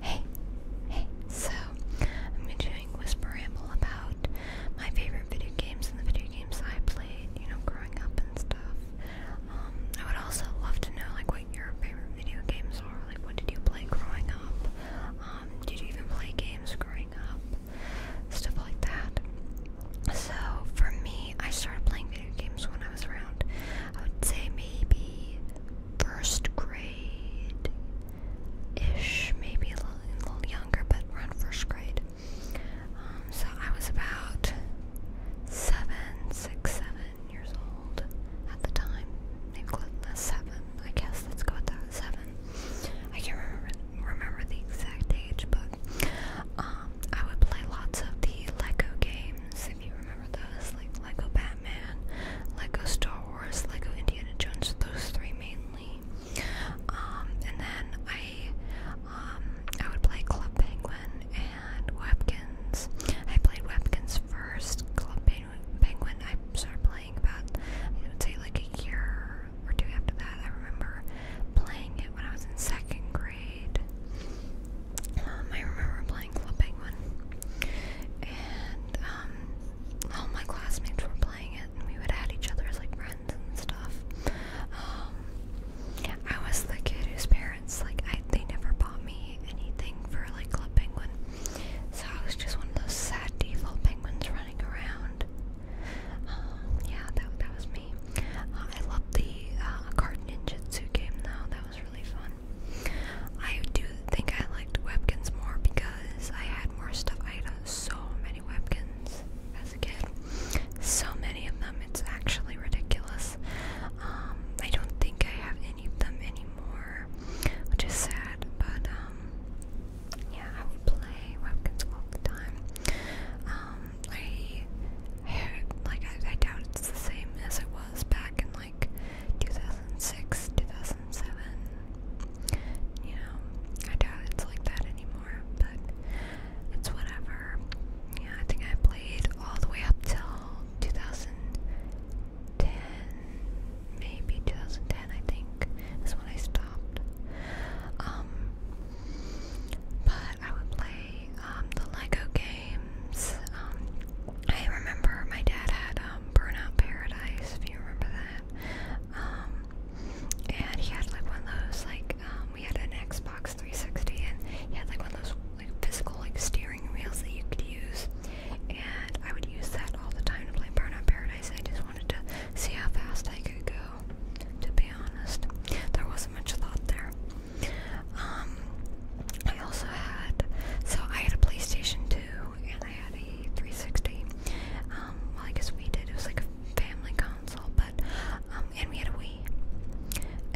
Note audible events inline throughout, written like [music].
Hey, hey, so I'm going to be doing Whisper Ramble about my favorite video games and the video games I played, you know, growing up and stuff. Um, I would also love to know, like, what your favorite video games are. Like, what did you play growing up? Um, did you even play games growing up? Stuff like that. So, for me, I started playing video games when I was around, I would say maybe first grade ish, maybe a little, a little younger, but around first grade. Um, so I was about seven, six, seven years old at the time. Maybe uh, seven, I guess. Let's go with that. Seven. I can't remember remember the exact age, but um, I would play lots of the Lego game games, if you remember those, like Lego Batman, Lego Star Wars, Lego Indiana Jones, those three mainly. Um, and then I, um, I would play Club Penguin and Webkins. I played Webkins first. Club Penguin, Penguin I started playing about, I would say, like a year or two after that. I remember playing it when I was in second grade. Um, I remember playing Club Penguin, and um, all my classmates were playing it, and we would add each other as like friends and stuff. Um, I was the kid whose parents like I they never bought me anything for like Club Penguin, so I was just one of those sad default penguins running around. yeah, that that was me. Uh, I loved the uh, Card Ninja ninjutsu game though; that was really fun. I do think I liked Webkins more because I had more stuff. I had so many Webkins as a kid. So many of them. It's actually ridiculous. Um, I don't think I have any of them anymore, which is sad, but um, yeah, I would play Webkins all the time. Um, I, like, I, doubt it's the same as it was back in like 2006, 2007. You I doubt it's like that anymore, but it's whatever. Yeah, I think I played all the way up till 2010, maybe 2010, I think, is when I stopped. Um, but I would play um, the Lego games. Um, I remember my dad had um, Burnout Paradise, if you remember that. Um, and he had like one of those, like, um, we had an Xbox 360, and he had like one of those like physical like steering wheels that you could use. And I would use that all the time to play Burnout Paradise. I just wanted to see how fast I could go, to be honest. There wasn't much thought there. Um, I also had, so I had a PlayStation 2 and I had a 360. Um, I guess we did. It was like a family console, but, um, and we had a Wii.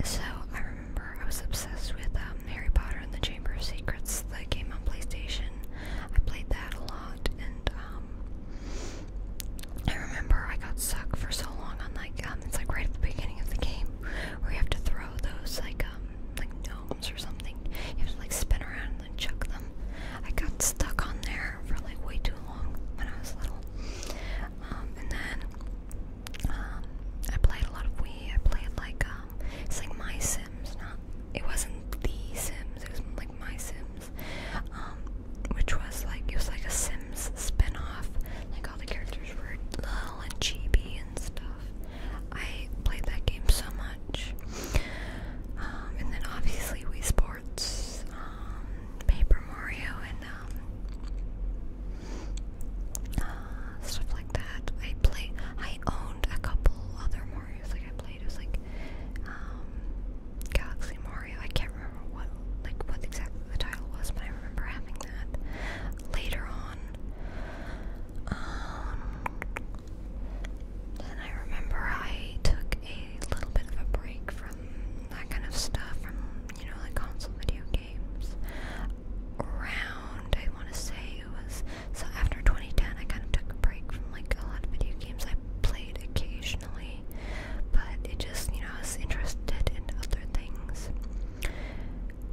So I remember I was obsessed with Harry Potter and the Chamber of Secrets that came on PlayStation. I played that a lot, and I remember I got stuck for so long on like it's like right at the beginning of the game where you have to throw those like um like gnomes or something. You have to like spin around and then chuck them. I got stuck on there for like way too long when I was little. Um, and then um, I played a lot of Wii. I played like um, it's like My Sims, not it wasn't The Sims. It was like My Sims, um, which was like it was like a Sims spin all the characters were little and chibi and stuff. I played that game so much. Um, and then obviously Wii Sports, um, Paper Mario, and um, uh, stuff like that. I play. I owned a couple other Mario's. Like I played, was like Galaxy Mario. I can't remember what like what exactly the title was, but I remember having that later on. Um, then I remember I took a little bit of a break from that kind of stuff, from, you know, like console video games. Around, I want to say it was, so after 2010, I kind of took a break from like a lot of video games I played occasionally, but it just, you know, I was interested in other things.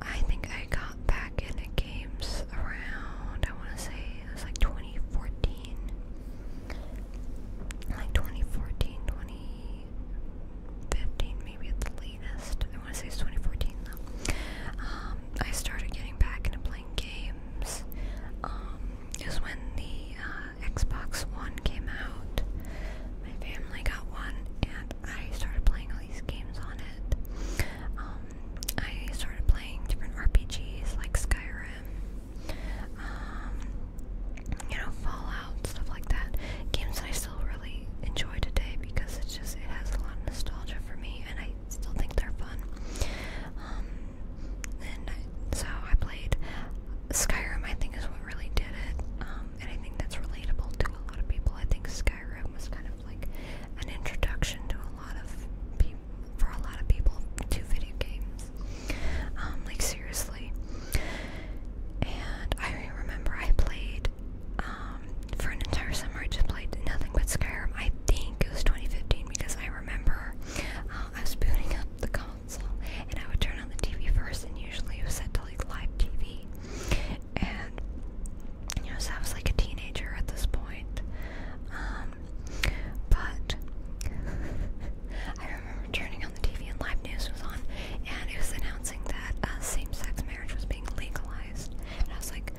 I think I got back into games around, I want to say it was like 2014. Like 2014, maybe at the latest. I want to say it's 2014 though. Um, I started getting back into playing games. it um, was when the uh, Xbox One came out. My family got one, and I started playing all these games on it. Um, I started playing different RPGs like Skyrim, um, you know, Fallout, stuff like that. Games that I still really enjoy today because it's just it has a lot of nostalgia for me, and I still think they're fun. Um, and so I played Skyrim. I think is what really did it. Um, and I think that's relatable to a lot of people. I think Skyrim was kind of like an introduction to a lot of people, for a lot of people, to video games. Um, like seriously. And I remember I played um, for an entire summer. I just played nothing but Skyrim. I think it was 2015 because I remember uh, I was booting up the console and I would turn on the TV first, and usually it was set to like live TV. And you know, so I was like a teenager at this point. Um, but [laughs] I remember turning on the TV and live news was on, and it was announcing that uh, same-sex marriage was being legalized. And I was like,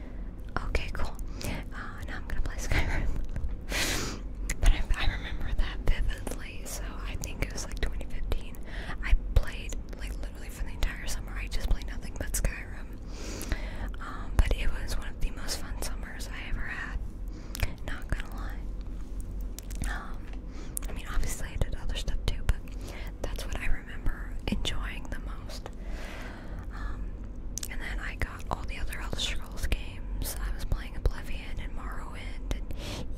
okay, cool. Uh, now I'm gonna play Skyrim. [laughs] but I remember that vividly so I think it was like 2015. I played like literally for the entire summer. I just played nothing but Skyrim. Um, but it was one of the most fun summers I ever had. Not gonna lie. Um, I mean, obviously I did other stuff too, but that's what I remember enjoying the most. Um, and then I got all the other Elder Scrolls games. I was playing Oblivion and Morrowind, and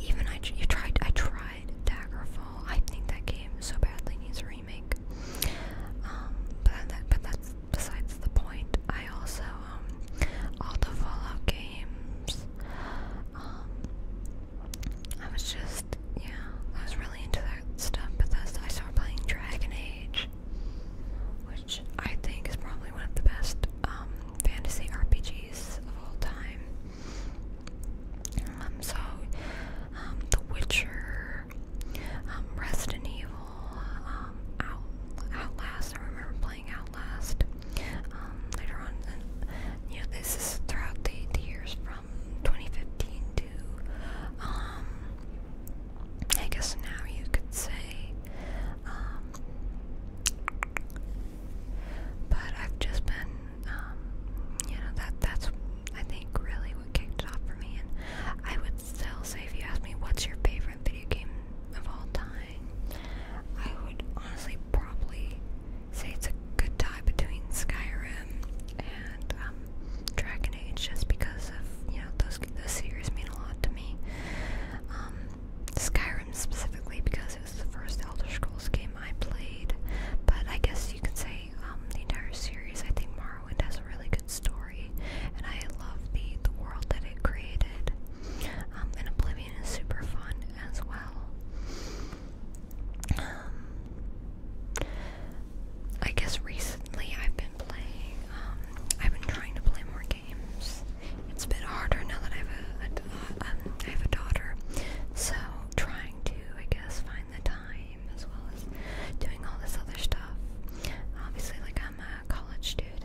even I, you tried. I tried Daggerfall. I think that game so badly needs a remake. Um, but that, but that's besides the point. I also um, all the Fallout games. Um, I was just yeah, I was really into that stuff. But that's I started playing Dragon Age, which I think is probably one of the best fantasy RPGs of all time. Um, so, um, The Witcher, um, Resident Evil, um, Out, Outlast. I remember playing Outlast um, later on. And, this is throughout the, the years from 2015 to, I guess now you could say, but I've just been, um, you know, that that's I think really what kicked it off for me. And I would still say if you ask me what's your favorite video game of all time, I would honestly probably say it's a good tie between Skyrim and um, Dragon Age, just because of you know those those series mean a lot to me. Um, Skyrim specifically because it was the first Elder Scrolls game I played. But I guess you can say um, the entire series. I think Morrowind has a really good story, and I love the the world that it created. Um, and Oblivion is super fun as well. Um, I guess recently I've been playing. Um, I've been trying to play more games. It's a bit harder now that I have a, uh, um, have a daughter, so trying to I guess find the time as well as doing all this other stuff. Obviously, like I'm a college student,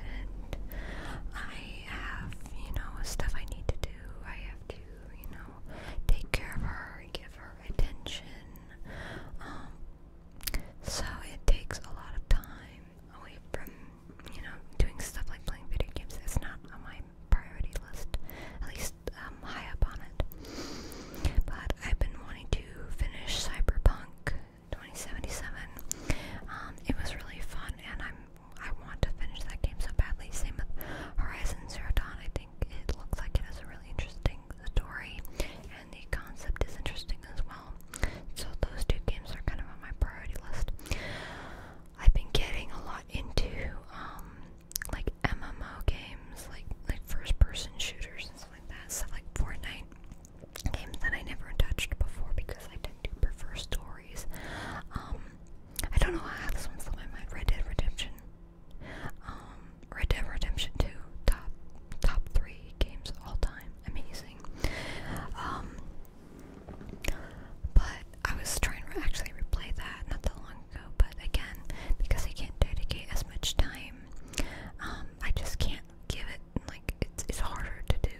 I have you know stuff I need to do. I have to you know take care of her, give her attention. Um, so it takes a lot of time away from you know, doing stuff like playing video games is not on my priority list, at least um, high up on it. But I've been wanting to finish Cyberpunk 2077. Um, it was really fun, and I'm I want to finish that game so badly. Same with Horizon Zero Dawn. I think it looks like it has a really interesting story, and the concept is interesting as well. So those two games are kind of on my priority list. I've been getting a lot into um, like MMO games, like like first person shooters and stuff like that, stuff like Fortnite games that I never touched before because I tend to prefer stories. Um, I don't know how this one slipped my mind. Red Dead Redemption. Um, Red Dead Redemption 2, top top three games all time. Amazing. But I was trying to actually replay that not that long ago, but again, because I can't dedicate as much time, um, I just can't give it, like, it's, it's harder to do.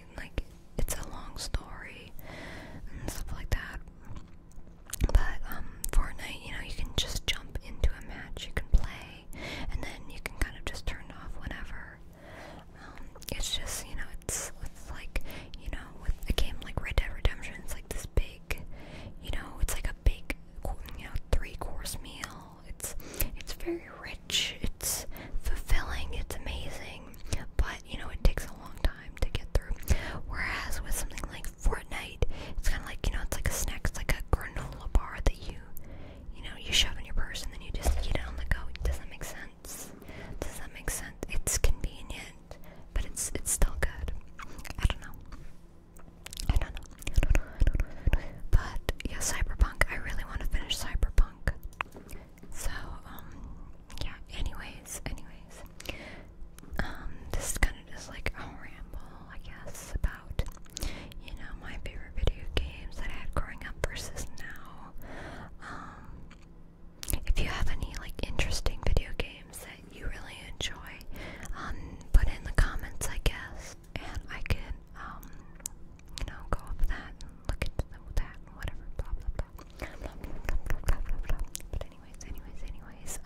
And, like, it's a long story and stuff like that. But, um, Fortnite, you know, you can just jump into a match, you can play, and then you can kind of just turn it off whenever. Um, it's just you know it's it's like you know with a game like Red Dead Redemption, it's like this big, you know, it's like a big you know three course meal. It's it's very rich. It's fulfilling. It's amazing. But you know it takes a long time to get through. Whereas with something like Fortnite, it's kind of like you know it's like a snack. It's like a granola bar that you you know you shove in your purse and then you just eat it on the go. Does that make sense? Does that make sense? It's convenient, but it's it's still good. I don't know. I don't know. I don't know. But yeah, Cyberpunk. I really want to finish Cyberpunk. So um, yeah. Anyways, anyways, um, this is kind of just like a ramble, I guess, about you know my favorite video games that I had growing up versus now. Um, if you have any like interesting video games that you really enjoy, um, put in the comments, I guess, and I can, um, you know, go up that look at that whatever, But anyways, anyways, anyways,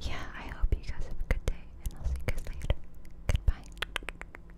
yeah, I hope you guys have a good day, and I'll see you guys later. Goodbye.